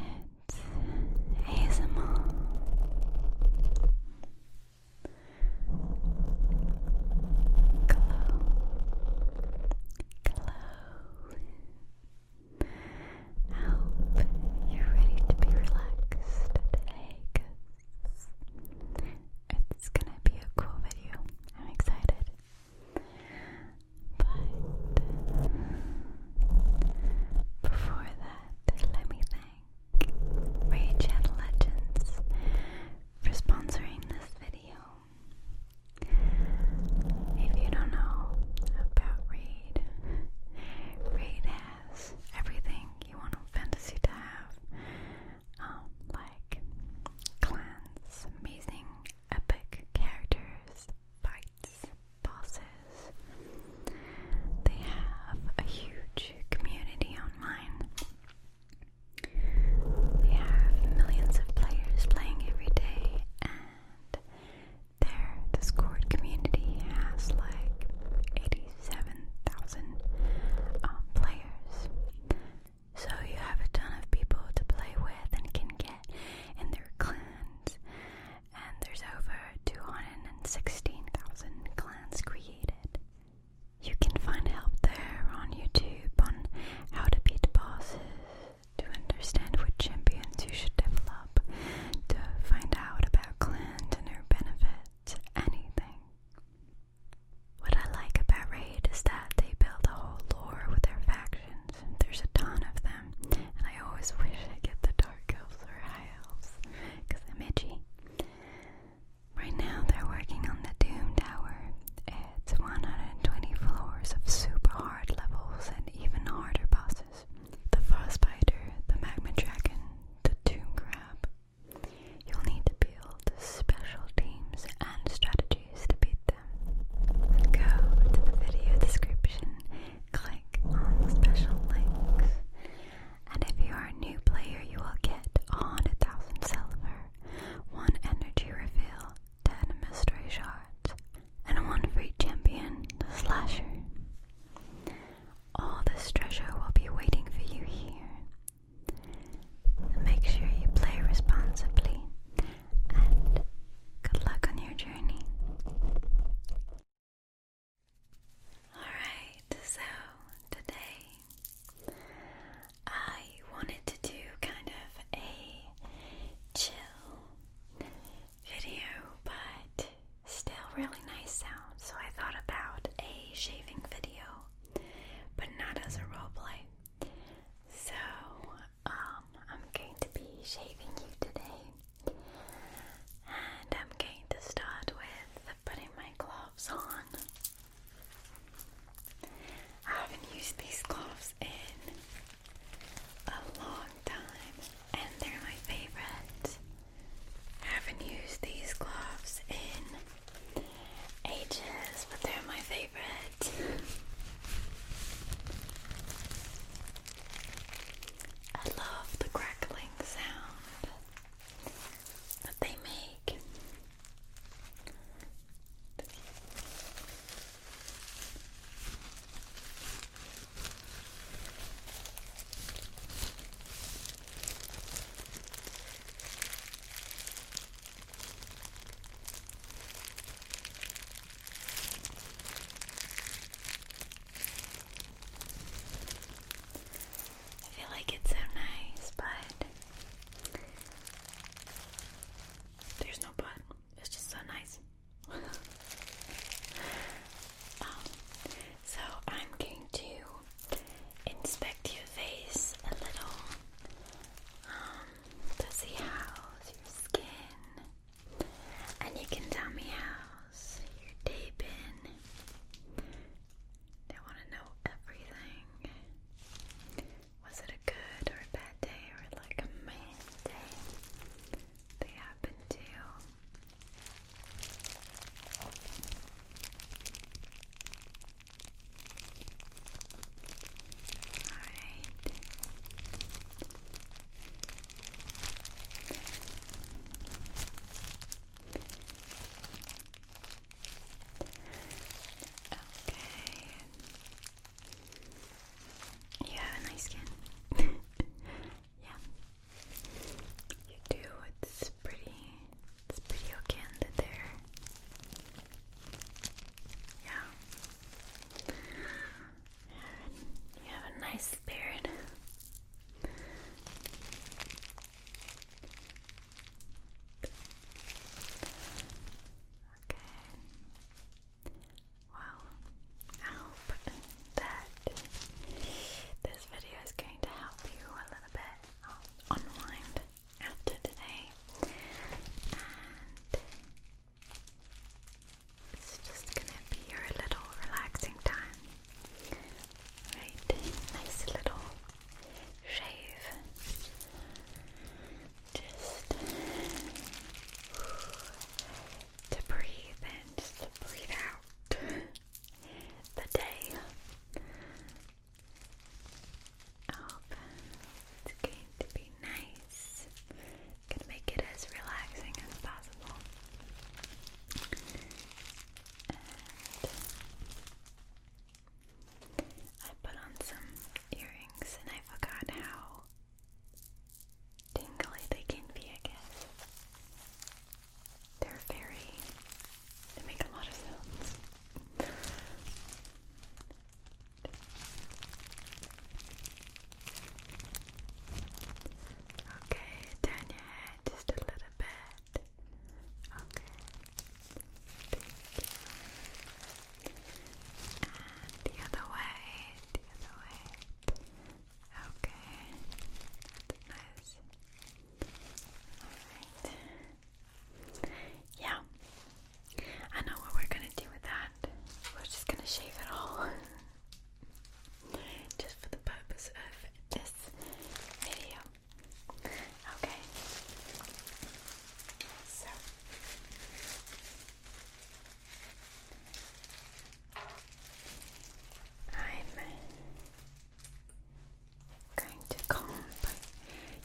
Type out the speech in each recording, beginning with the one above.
It's ASMR. Glow. Glow. I hope you're ready to be relaxed today because it's gonna be a cool video. I'm excited. But before that, let me thank Ray Legends for sponsoring this video. If you don't know about Raid, Raid everything you want a fantasy to have, um, like clans, amazing, epic characters, fights, bosses. They have a huge community online. They have millions of players playing every day, their Discord community has like 87,000 um, players. So you have a ton of people to play with and can get in their clans. And there's over 216,000 clans created. You can find help there on YouTube on how to beat bosses, to understand what champions you should develop, to find out about Clint and her anything. What I like about Raid is that they build a whole lore with their factions. There's a ton of them, and I always wish I get the Dark Elves or High Elves, because I'm Right now they're working on the Doom Tower. It's 120 floors of super hard levels and even harder bosses creatures the frostbiter, the magma dragon, the tomb crab. You'll need to build special teams and strategies to beat them. Go to the video description, click on special links, and if you are a new player, you will get a 100,000 silver, 1 energy refill, 10 mystery shards, and one for each champion, the slasher. All this treasure will be waiting for you here. Make sure you play responsibly, and good luck on your journey. Alright, so today I wanted to do kind of a chill video, but still really nice sound. So I thought about a shaving video, but not as a roleplay. So um, I'm going to be shaving you today, and I'm going to start with putting my gloves on. I haven't used these gloves in a long time and they're my favorite. I haven't used these gloves in ages, but they're my favorite. I love the crackling sound that they make. I feel like it's so nice, but there's no but. It's just so nice. so I'm going to inspect your face a little um, to see how's your skin, and you can tell me how's your day been. I want to know everything. Was it a good or a bad day or like a man day? They happen to. Alright. Okay. You have a nice skin. yeah. You do. It's pretty. It's pretty okay under there. Yeah. You have a nice beard. Okay. Well, I hope that this video is going to help you a little bit unwind after today. And it's just gonna be your little relaxing time. Right? Nice little shave just to breathe and just to breathe out the day of it's going to be nice. Gonna make it as relaxing as possible. I put on some earrings and I forgot how tingly they can be, I guess. They're very, they make a lot of sounds. Okay, turn your head just a little bit. Okay the other way, the other way. Okay. nice. Alright. Yeah. I know what we're gonna do with that. We're just gonna shave it all. just for the purpose of this video. Okay. So I'm going to comb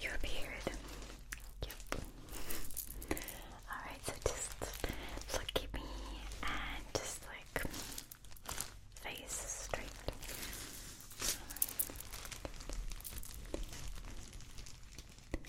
your beard. Yep. Alright, so just look at me and just like face straight. Good. Good.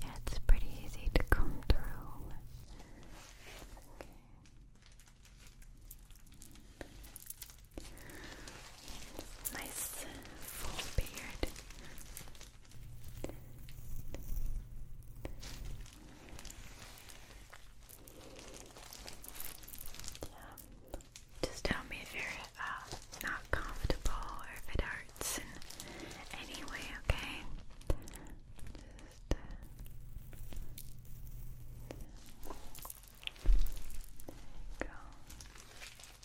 Yeah, it's pretty easy to come through. Nice full beard. Yeah. Just tell me if you're uh, not comfortable or if it hurts in any way, okay? Uh, there you go. Okay. All right. Good.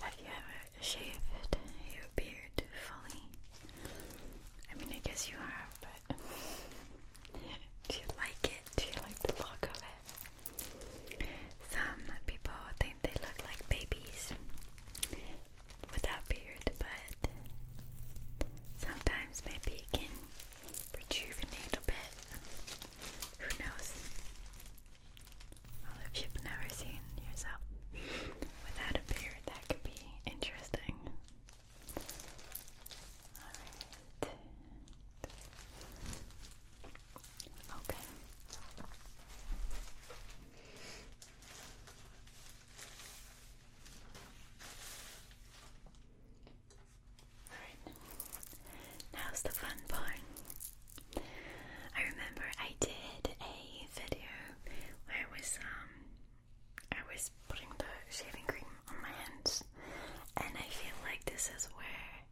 Have you ever shaved your beard fully? I mean, I guess you have, but do you like it? Do you like the look of it? Some people think they look like babies without beard, but sometimes maybe you can rejuvenate a bit. Who knows? Well, if you've never seen yourself without a beard, that could be interesting. Alright. Okay. Alright, now's the fun part. I remember I did a video where I was um I was putting the shaving cream on my hands and I feel like this is where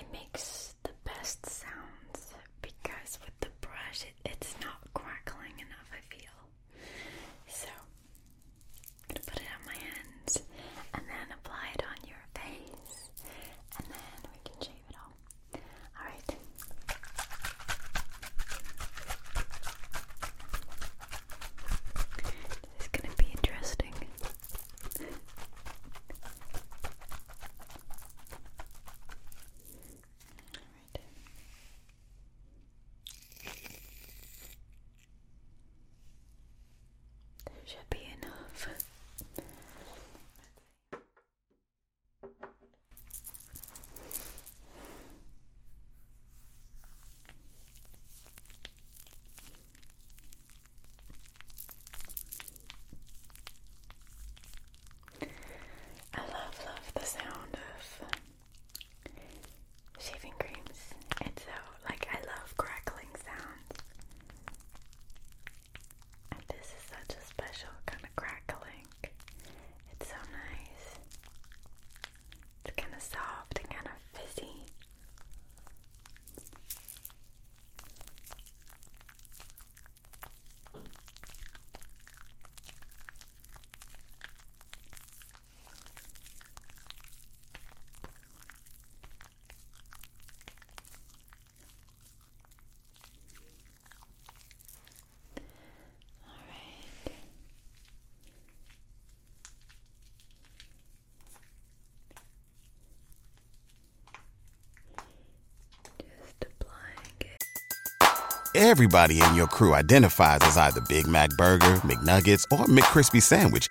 it makes the best sounds because with the brush it, it's not crackling enough I feel. So gonna put it on my hands and then apply it on your face and then we can shave it all. Alright. This is gonna be interesting. Alright. That should be enough. I love, love the sound of shaving creams, and so like I love crackling sounds. And this is such a special kind of crackling. It's so nice. It's kind of soft and kind of fizzy. All right. Just applying it. Everybody in your crew identifies as either Big Mac Burger, McNuggets, or McCrispy Sandwich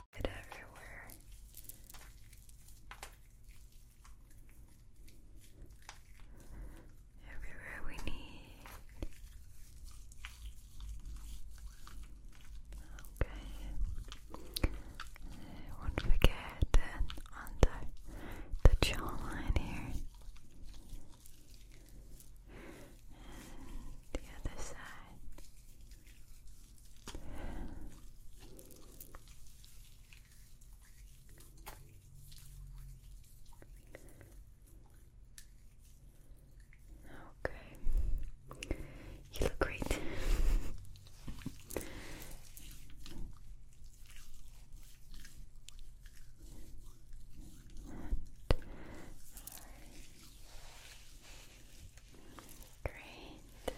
Mecca. everywhere. Everywhere we need. Okay. Don't forget under the jawline here. the other side. Okay, you look great. Great.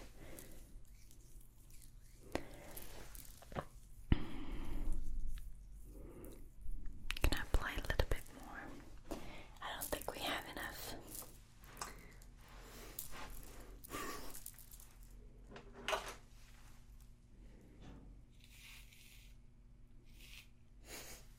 Can I apply a little bit more? I don't think we have enough.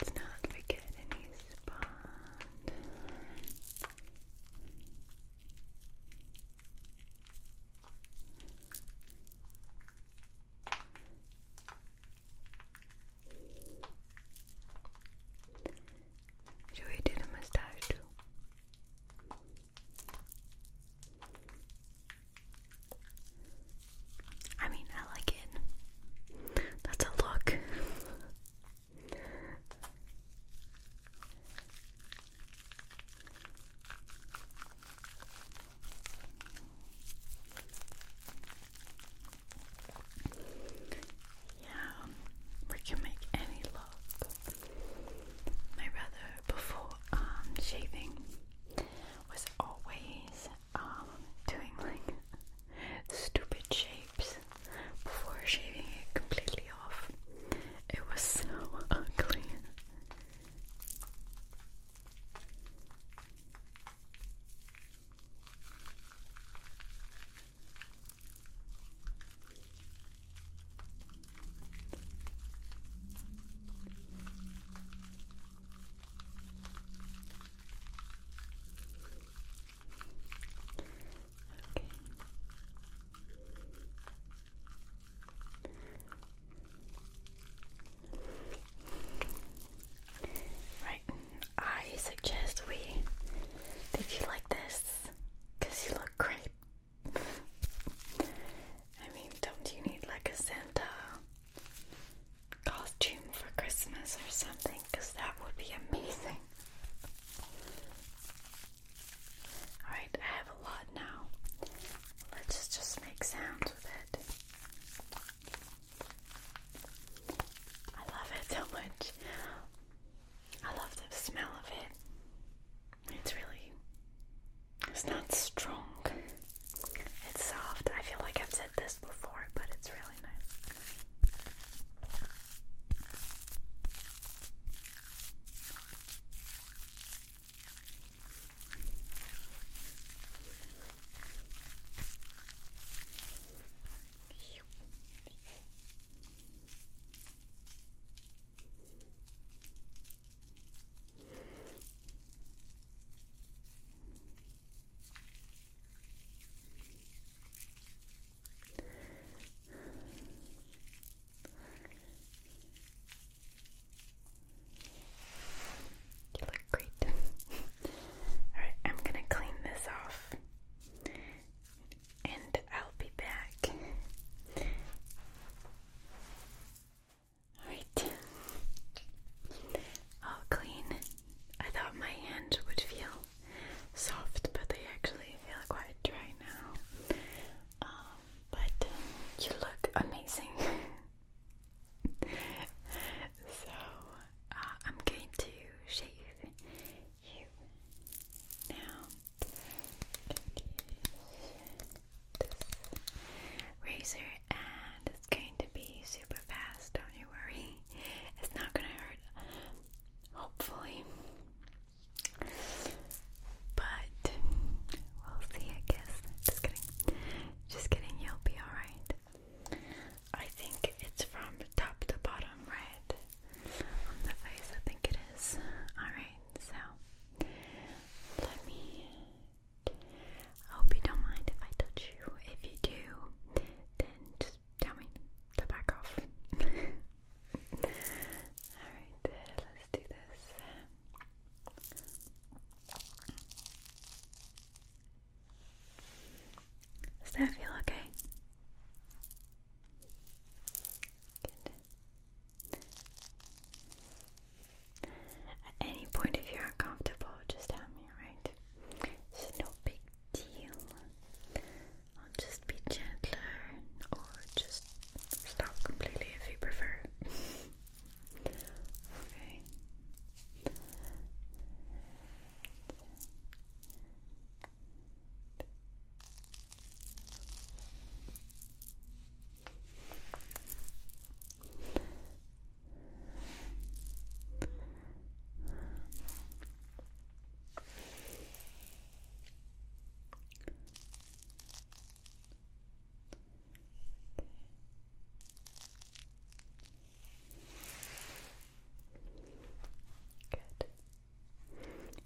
Let's not forget any spot. Should we do the mustache too? I mean, I like it. That's a look. Yeah, we can make any look. My brother before um, shaving was always um, doing like stupid shapes before shaving it completely off. It was so ugly. Right, I suggest we did you like this? Cause you look great. I mean, don't you need like a Santa costume for Christmas or something because that would be amazing. Alright, I have a lot now. Let's just make sounds with it. I love it so much. I love the smell of it. It's really it's not strong. It's soft. I feel like I've said this before, but it's really nice. You look great. Alright, I'm gonna clean this off and I'll be back. Alright. All clean. I thought my hands would feel soft, but they actually feel quite dry now. Um, but you look amazing. so uh, I'm going to shave you now razor and it's going to be super fast, don't you worry. It's not gonna hurt, hopefully. But we'll see, I guess. Just kidding. Just kidding, you'll be alright. I think it's from top to bottom, right? On the face, I think it is. Alright, so let me I hope you don't mind if I touch you. If you do, then just tell me to back off. Alright, let's do this. Does that feel okay? At any point, if you're uncomfortable, just tell me, right? It's no big deal. I'll just be gentler or just stop completely if you prefer. okay. Good.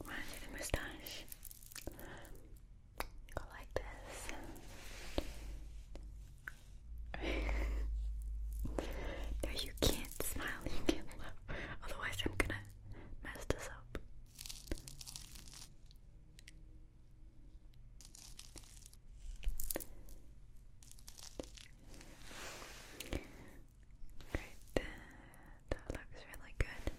Mind you, the moustache like this. no, you can't smile, you can't laugh. Otherwise, I'm gonna mess this up. Great, that looks really good.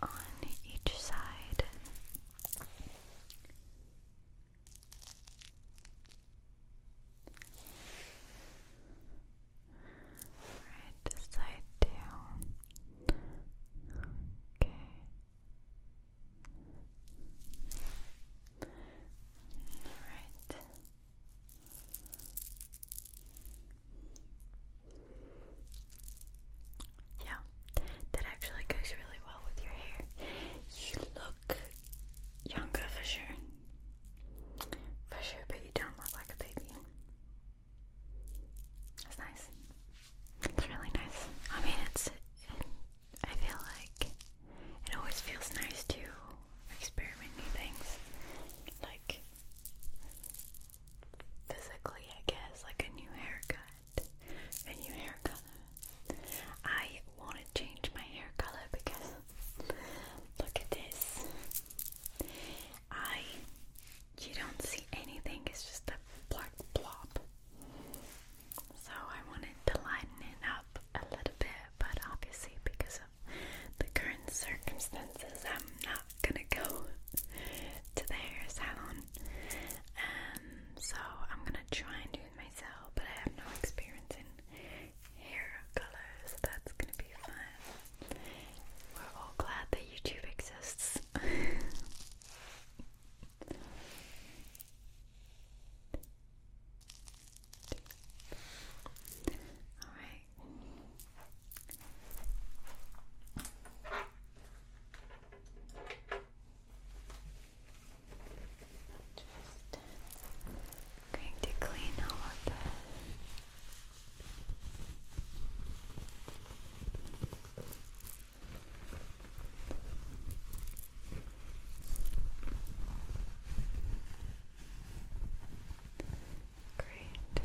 Okay. On each side. Right side down. Okay. Alright. Yeah, that actually goes really well with your hair. You look younger for sure. For sure, but you don't look like a baby. That's nice. It's really nice. I mean, it's I feel like it always feels nice to experiment new things, like physically, I guess, like a new haircut, a new hair color. I want to change my hair color because look at this. I you don't see anything, it's just a black blob. So I wanted to lighten it up a little bit, but obviously because of the current circumstances, I'm not gonna go to the hair salon. Um, so I'm gonna try and do it myself, but I have no experience in hair color, that's gonna be fun. We're all glad that YouTube exists. Alright. Just going to clean all of that. Great. Good.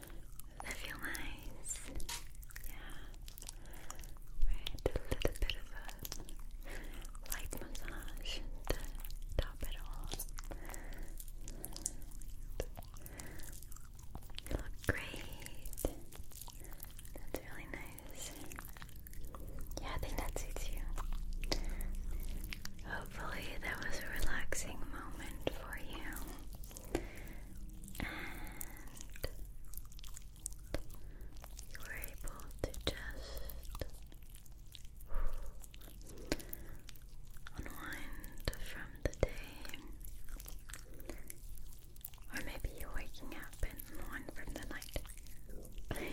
that feel nice? Yeah. Right, a little bit of a light massage to top it all. You look great. That's really nice. Yeah, I think that suits you. Hopefully, that was a relaxing moment for you and you were able to just unwind from the day, or maybe you're waking up and unwind from the night.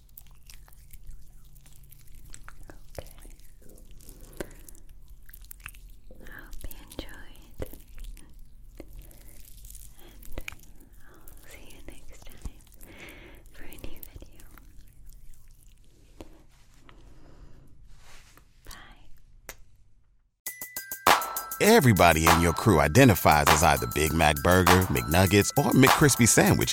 Okay. I hope you enjoyed. And I'll see you next time for a new video. Bye. Everybody in your crew identifies as either Big Mac Burger, McNuggets, or McCrispy Sandwich